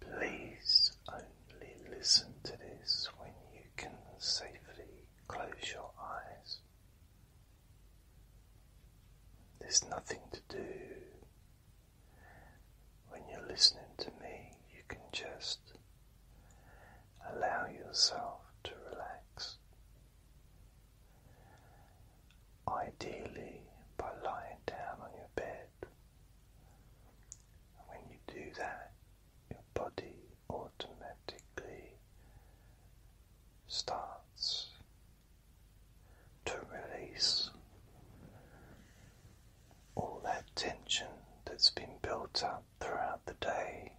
Please only listen to this when you can safely close your eyes. There's nothing to do. When you're listening to me, you can just allow yourself to relax. Ideally, by lying down on your bed when you do that, your body automatically starts to release all that tension that's been built up throughout the day.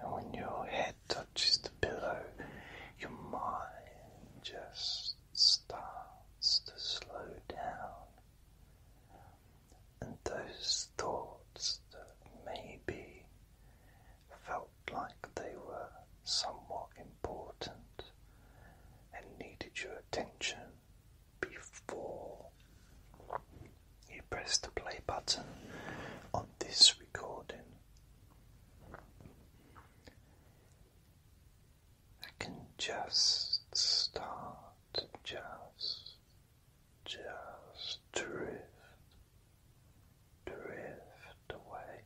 And when your head touches the pillow, your mind just starts to slow down. And those thoughts that maybe felt like they were somewhat important and needed your attention before you press the play button on this recording I can just start just, just drift, drift away.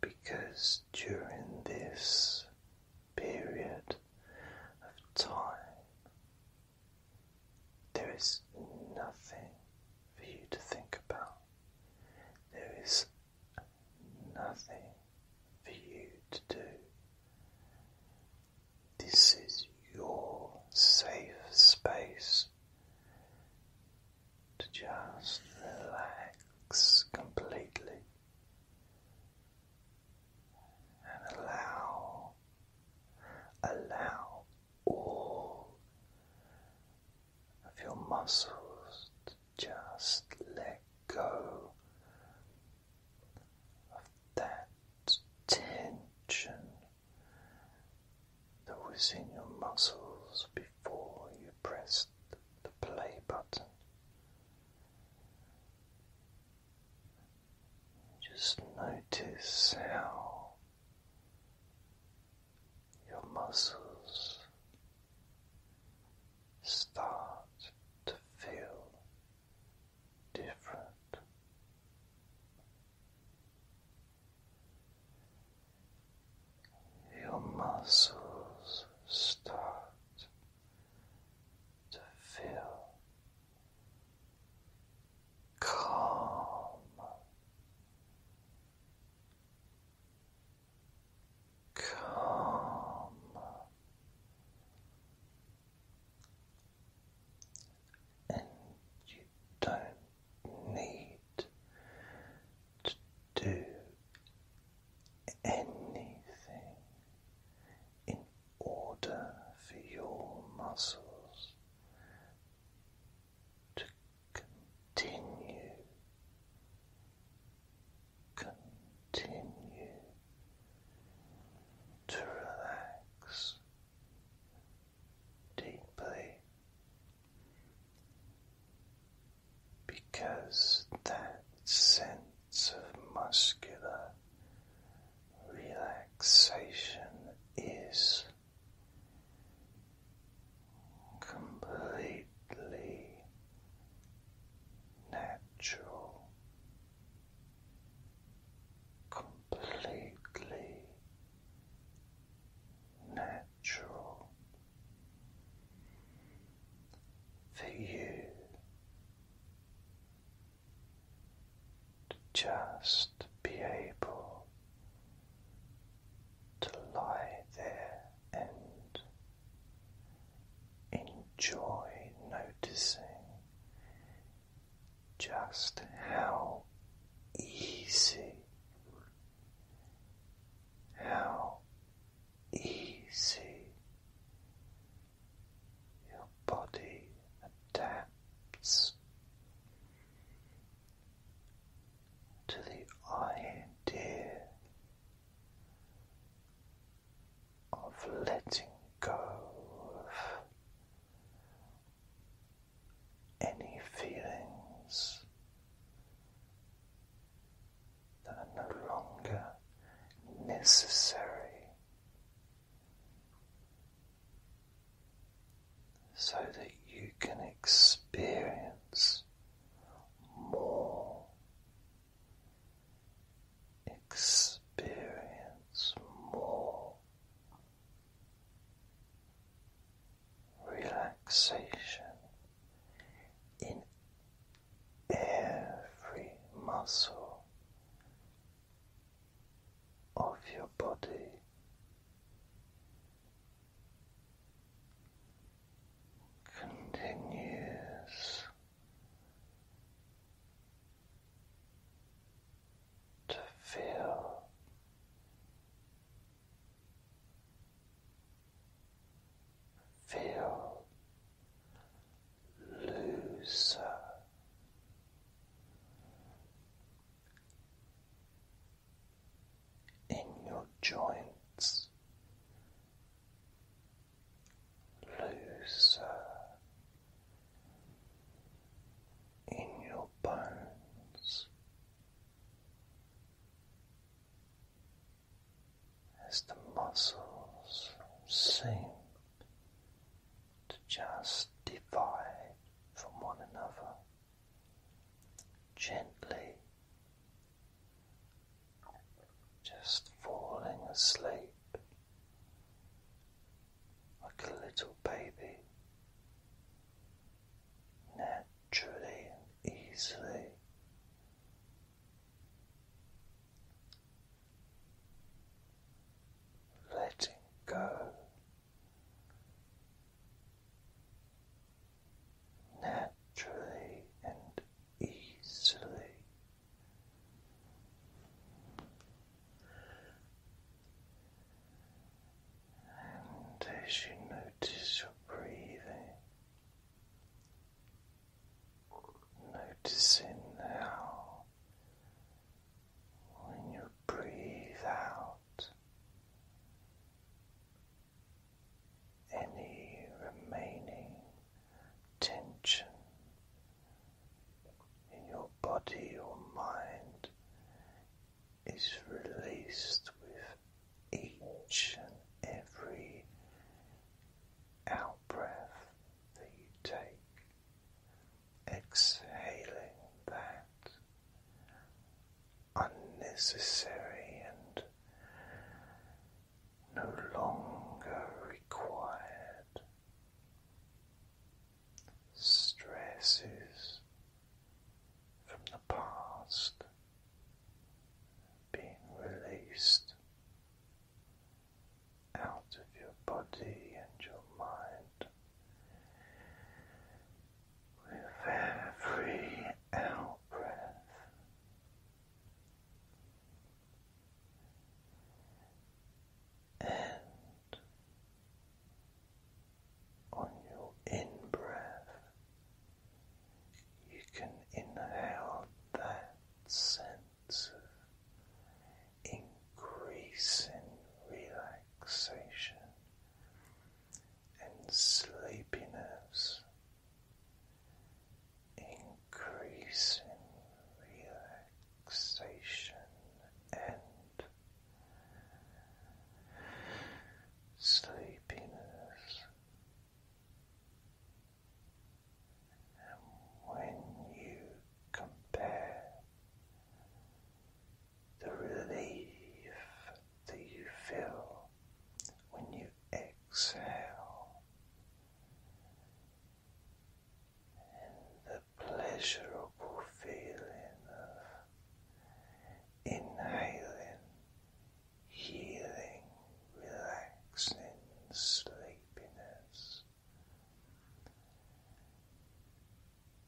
Because during this period of time, there is nothing for you to think about. There is nothing for you to do. This is your safe space to just relax completely and allow allow all of your muscles just let go of that tension that was in your muscles before you pressed the play button. Just notice how your muscles start to feel different. Your muscles start to feel calm, calm, and you don't need to do anything in order for your muscles to continue, continue to relax deeply because that sense of muscular relaxation is completely natural, completely natural for you to just be able to lie there and enjoy noticing just how easy, how easy your body adapts to the idea of letting go of any feelings that are no longer necessary so that you can experience more. Experience more relaxation in every muscle of your body. Continues to feel feel looser in your joints looser uh, in your bones as the muscles seem to just divide from one another gently just falling asleep like a little baby naturally easily. Letting go naturally and easily. And as you notice your breathing, noticing how when you breathe out any remaining tension in your body or mind is released with each and every out breath that you take. Exhaling that unnecessary and no longer required. Stresses from the past being released out of your body and your mind with every out breath. And on your in you can inhale that sense of increasing relaxation and sleepiness, increasing relaxation and sleepiness. And when you compare the relief that you feel when you exhale, and the pleasurable feeling of inhaling, healing, relaxing sleepiness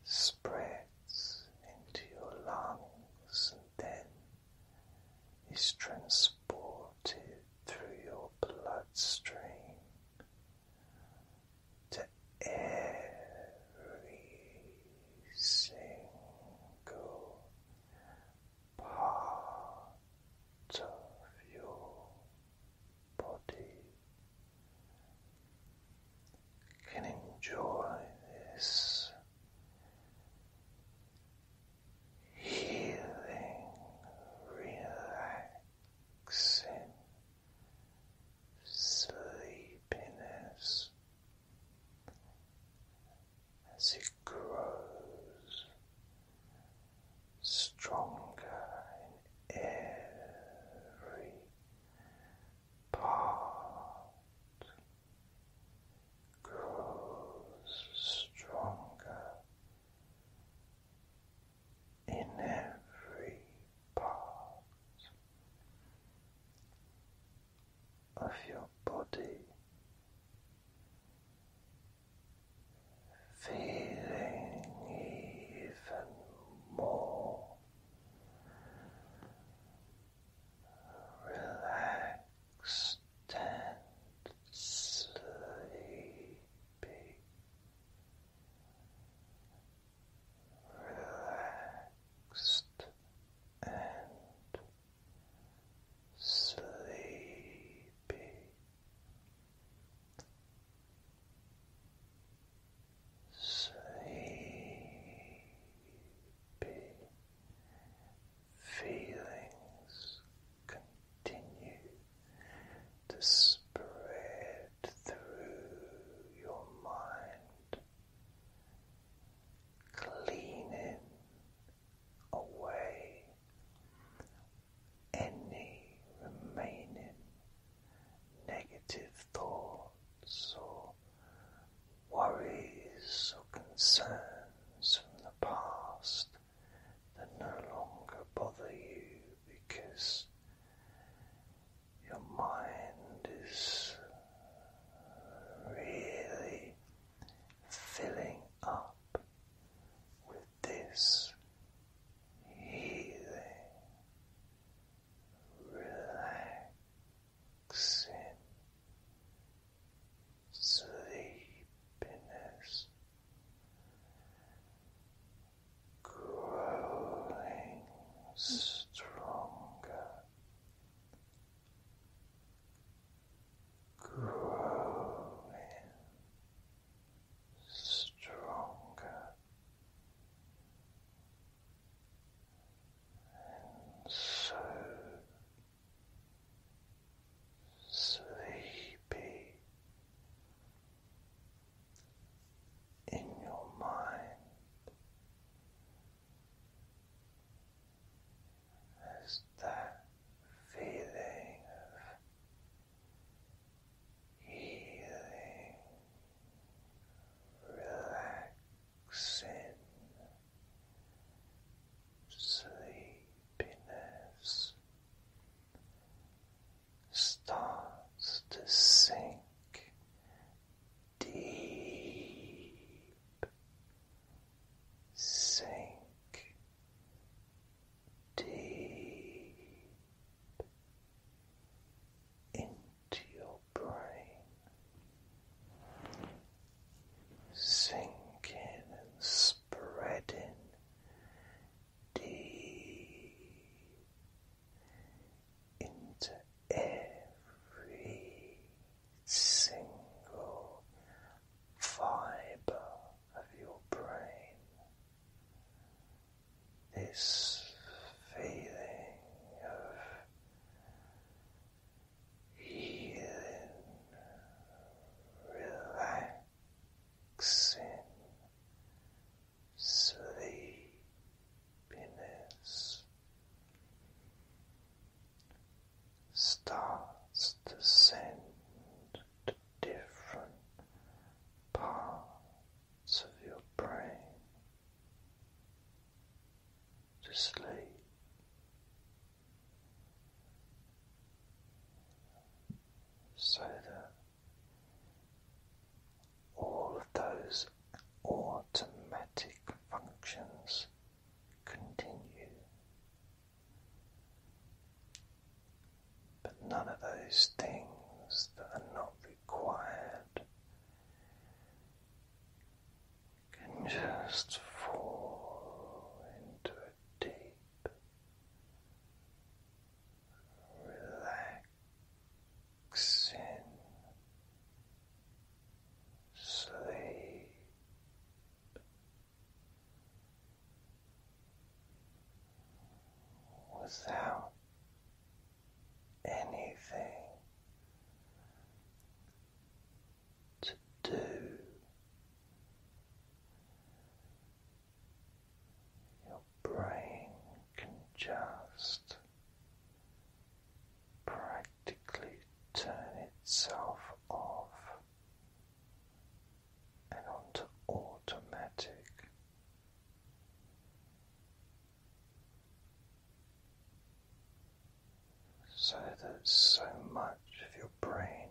spreads into your lungs and then is transported through your bloodstream to every single part of your body can enjoy this healing, relaxing sleepiness as it grows stronger in every part grows stronger in every part of your body. Feeling even more relaxed and sleepy. Relaxed and sleepy sleepy feelings continue to spread through your mind, cleaning away any remaining negative thoughts or worries or concerns from the past that no longer bother you because your mind is really filling up with this healing, relaxing sleepiness growing stronger growing stronger and so sleepy in your mind as that feeling of Healing, relaxation in sleepiness starts to sink deep, sink deep. Into into your brain, sinking and spreading deep into every single fibre of your brain. This feeling of healing, relaxing sleepiness starts to send different parts of your brain to sleep. So that all of those automatic functions continue, but none of those things that are not required can just fall into a deep, relaxing sleep. Without anything to do. Your brain can just practically turn itself off and onto automatic so that so much of your brain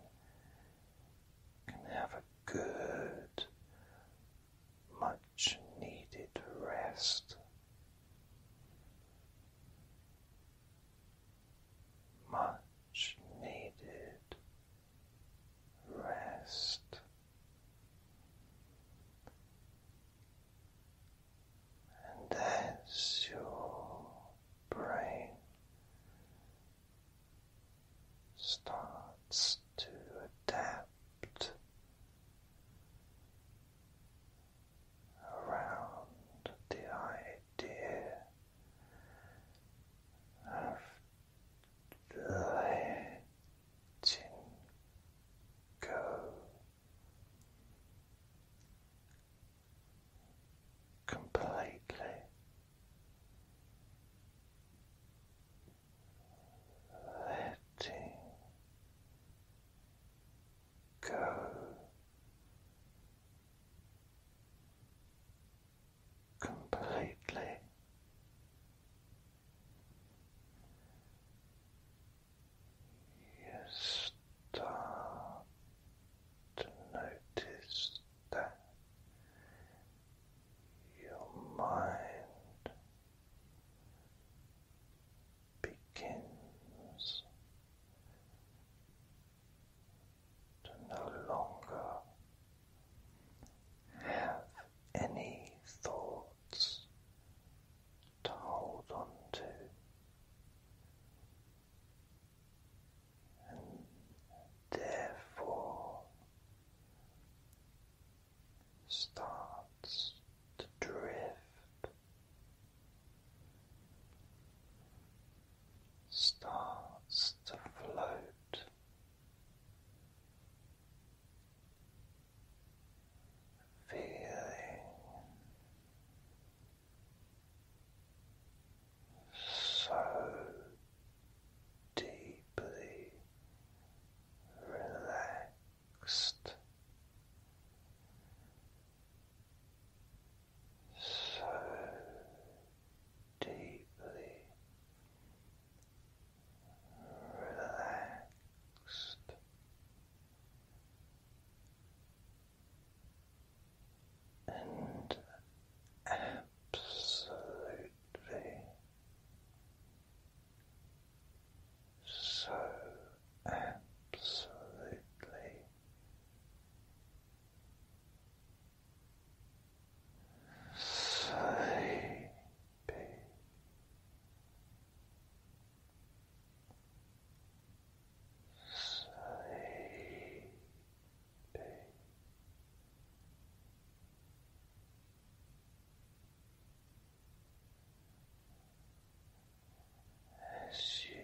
can have a good, much needed rest. Much needed rest and that's your brain starts to adapt around the idea of letting go completely. Letting go completely, you start to notice that your mind begins to no longer have any thoughts to hold on to. And therefore starts to drift, starts to float, feeling so deeply relaxed, so deeply relaxed and absolutely so absolutely sleepy. Sleeping. As you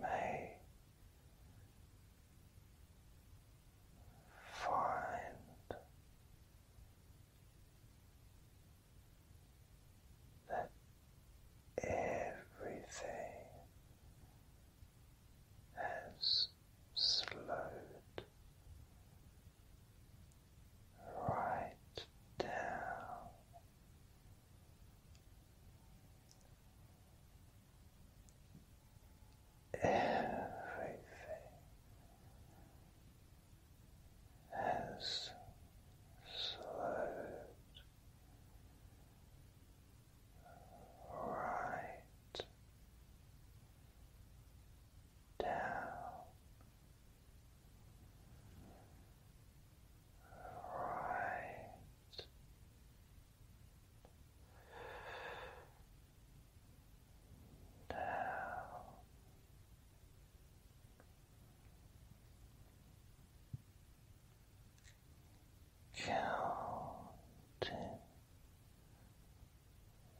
may Find that everything has slowed right down everything has slowed right down. Right down. Counting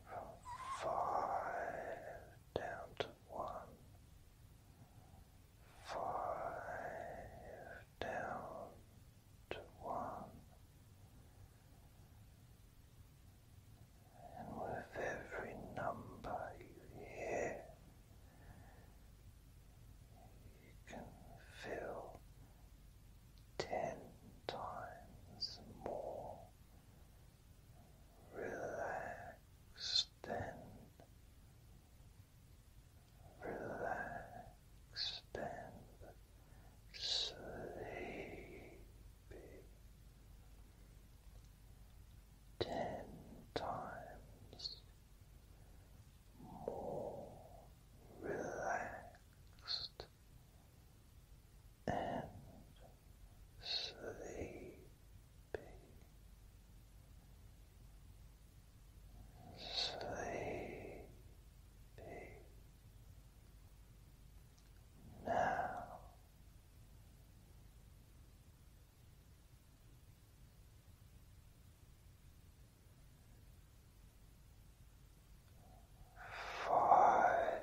from five down to one, five down to one, and with every number you hear, you can feel ten times more relaxed than relaxed than sleepy ten times more relaxed and sleepy. Sleepy, now, five.